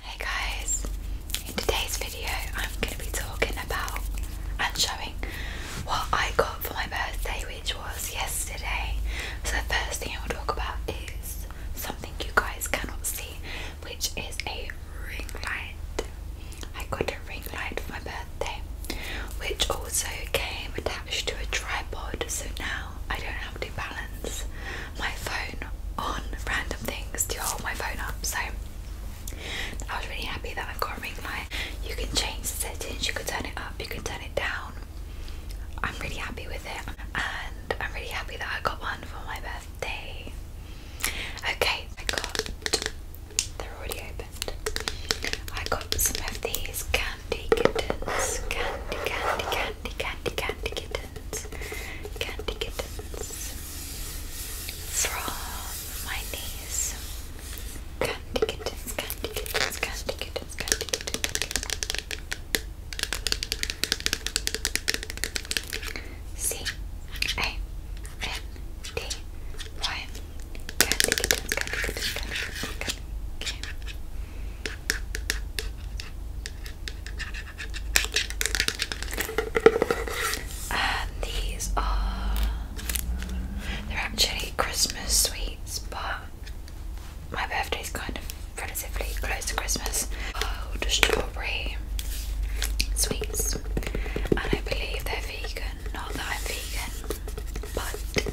Hey guys, in today's video I'm going to be talking about and showing what I got for my birthday which was yesterday. So the first thing I will talk about is something you guys cannot see which is a ring light. I got a ring light for my birthday which also came attached to a tripod so now I don't have to balance my phone on random things to hold my phone up. So I was really happy that i got a ring light. You can change the settings, you can turn it up, you can turn it down. I'm really happy with it, and I'm really happy that I got one for my birthday. Okay, I got they're already opened. I got some of these candy kittens. Candy, candy, candy, candy, candy kittens. Candy kittens. From my niece. Candy kittens, candy kittens, candy kittens, candy kittens. C A N D Y. Candy kittens, candy kittens, candy kittens. Okay. And these are they're actually Christmas sweets, but my birthday is kind of relatively close to Christmas. Wild strawberry sweets, and I believe they're vegan. Not that I'm vegan, but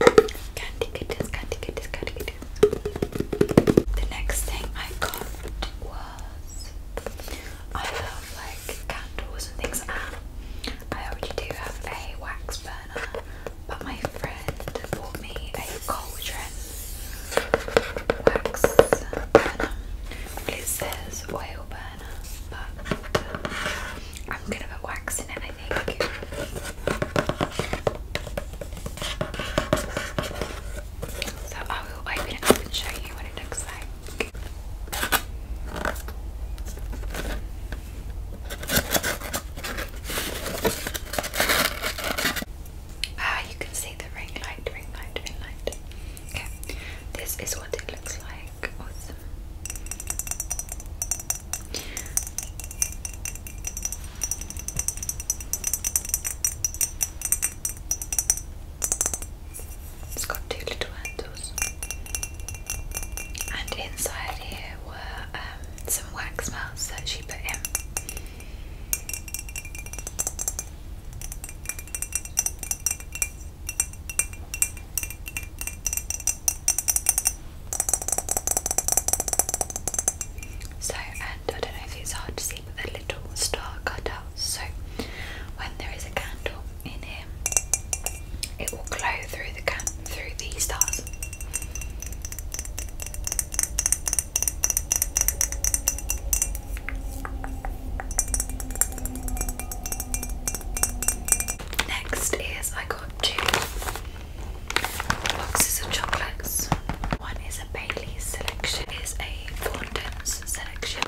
The next thing I got was I have like candles and things like that. I already do have a wax burner, but my friend bought me a cauldron wax burner. It says oil burner, but I'm gonna put waxing it, I think. So I will open it up and show you what it looks like. Ah, you can see the ring light, ring light, ring light. Okay, this is what it looks like. Awesome. It's got two little handles. And inside here were um, some wax melts that she put in. So, and I don't know if it's hard to see, but the little star cutouts. So, when there is a candle in here, it will glow through the can through these stars. Next is I got two boxes of chocolates. One is a Bailey's selection, is a Thornton's selection.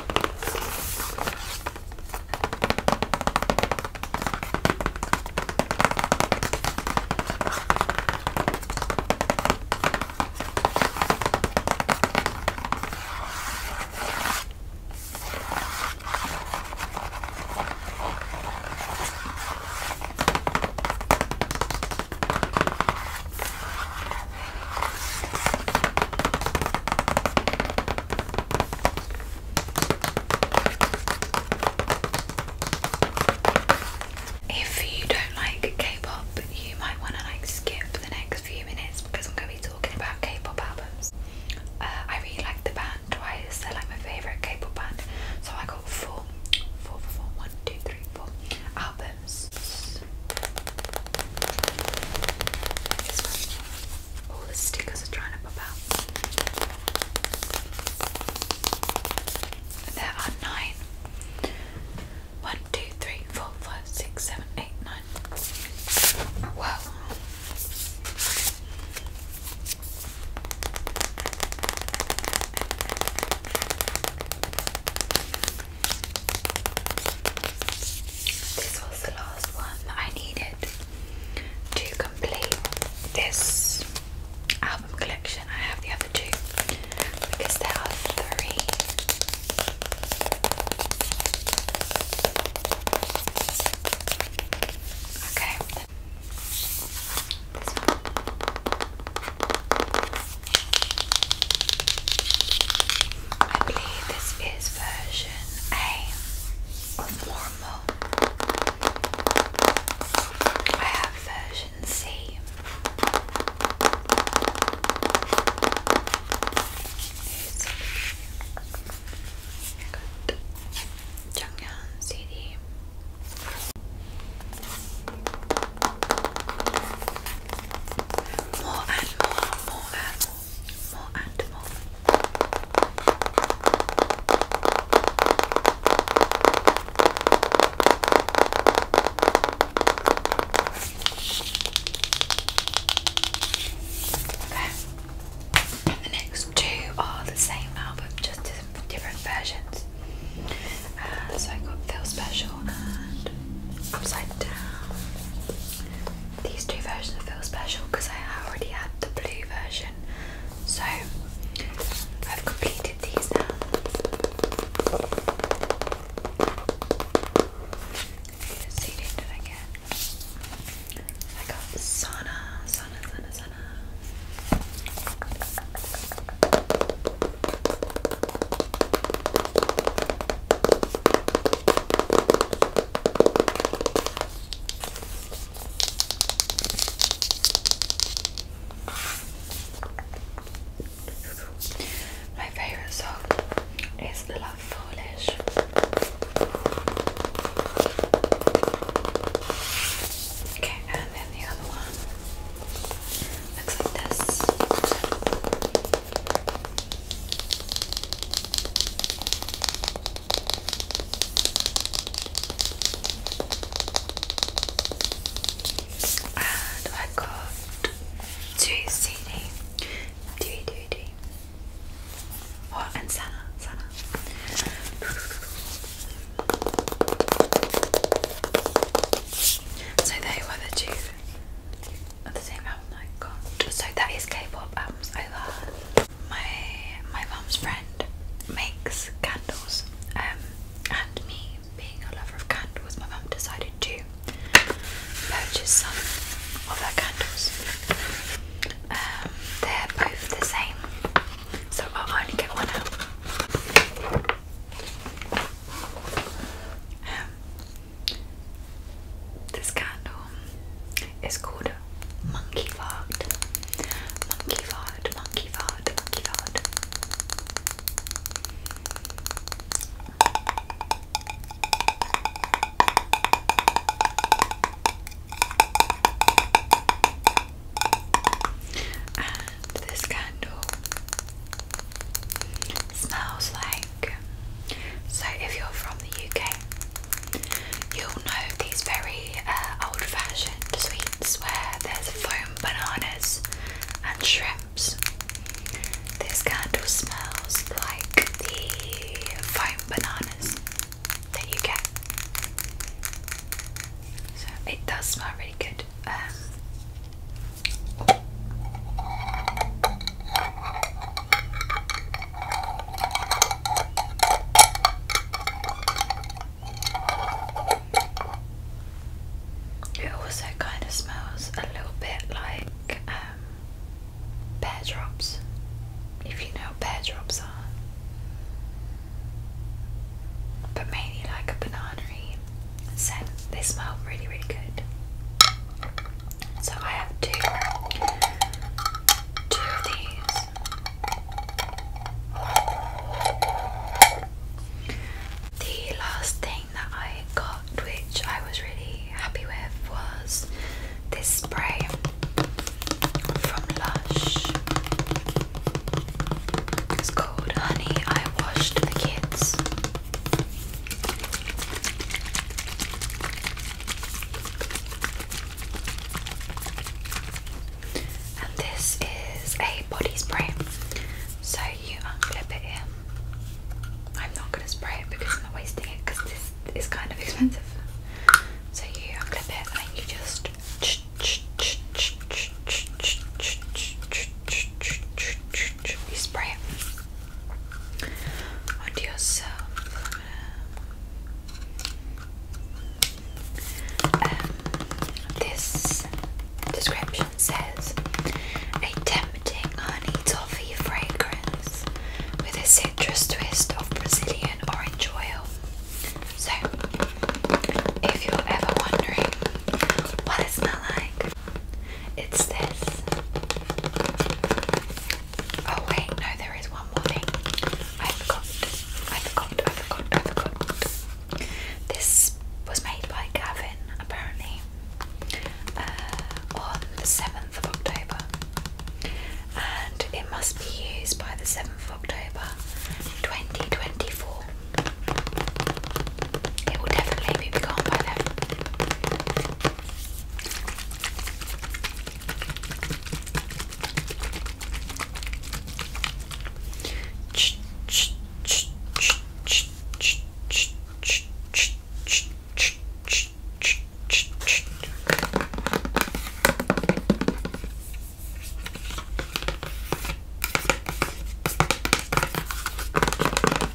If you don't like K-pop, you might want to like skip the next few minutes because I'm going to be talking about K-pop albums. Uh, I really like the band Twice; they're like my favorite K-pop band. So I got four four. Four, four, four, one, two, three, four albums. All the stickers are trying to pop out. There are nine. One, two, three, four, five, six, seven, eight, nine. Wow. This was the last one I needed to complete this album collection. I have the other two because there are three. Okay, this I believe this is version A of Warmo. I have version C. Good. Jungyang CD more and more, more and more, more and more. Okay. the next two are the same but just different versions. Uh, so I got Feel Special and Upside Down. These two versions Feel Special because I already had the blue version. So I've completed these now. Let's did I get? I got Sana, my favorite song is "The Love Foolish. Okay, and then the other one. Looks like this. And I got two CD, three DVD. What and Sana, Sana. So they were the two of the same album I got. So that is K-pop albums My my mum's friend makes candles, um, and me being a lover of candles, my mum decided to purchase some of her candles. Um, they're both the same, so I'll only get one out. Um, this candle is called Monkey Fart. Monkey Fart, Monkey Fart, Monkey Fart this candle smells like so if you're from the UK you'll know these very uh, old-fashioned sweets where there's foam bananas and shrimps. This candle smells like the foam bananas that you get. So it does smell really good. Um, it also kind of smells a little bit like um, pear drops, if you know pear drops are but mainly like a banana scent. They smell really, really good. So I have two, two of these. The last thing that I got, which I was really happy with, was this spray from Lush. It's called Honey, I Washed the Kids. And this is a body spray. So you unclip it in. I'm not going to spray it because I'm not wasting it because this is kind of expensive. So you unclip it and you just you spray it onto yourself. Um, this description says a tempting honey toffee fragrance with a citrus twist of Brazilian orange oil. So if you're ever wondering what it smells like, it's this. Oh wait, no, there is one more thing. I forgot. I forgot. I forgot. I forgot. This was made by Gavin, apparently, uh, on the seventh of October, and it must be used by the seventh of October, twenty twenty four. It will definitely be gone by then.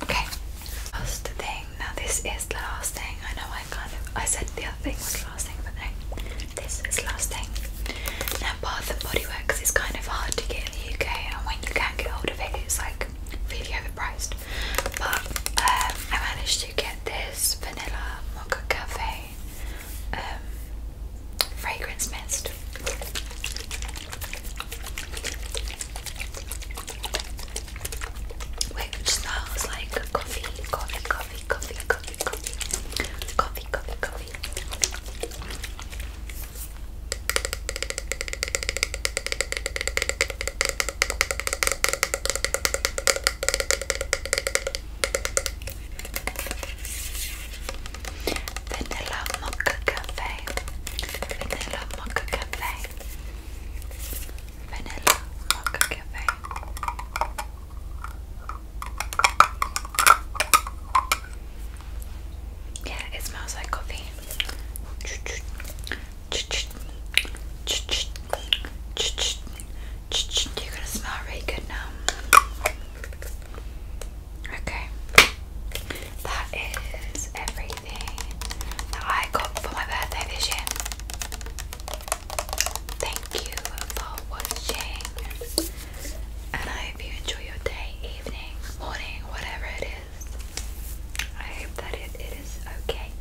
Okay, last thing. Now this is the last thing. I know I kind of I said the other thing was the last thing, but this is the last thing. Now Bath and Body Works is kind of hard to get in the UK, and when you can not get hold of it, it's like really overpriced. But um, I managed to get this vanilla mocha cafe um, fragrance mist taste. Which smells like coffee, coffee, coffee, coffee, coffee, coffee, coffee, coffee, coffee. Vanilla Mocha Cafe. Vanilla Mocha Cafe. Vanilla Mocha Cafe. Yeah, it smells like coffee. You're gonna smell really good now. Okay, that is everything that I got for my birthday this Thank you for watching, and I hope you enjoy your day, evening, morning, whatever it is. I hope that it is okay.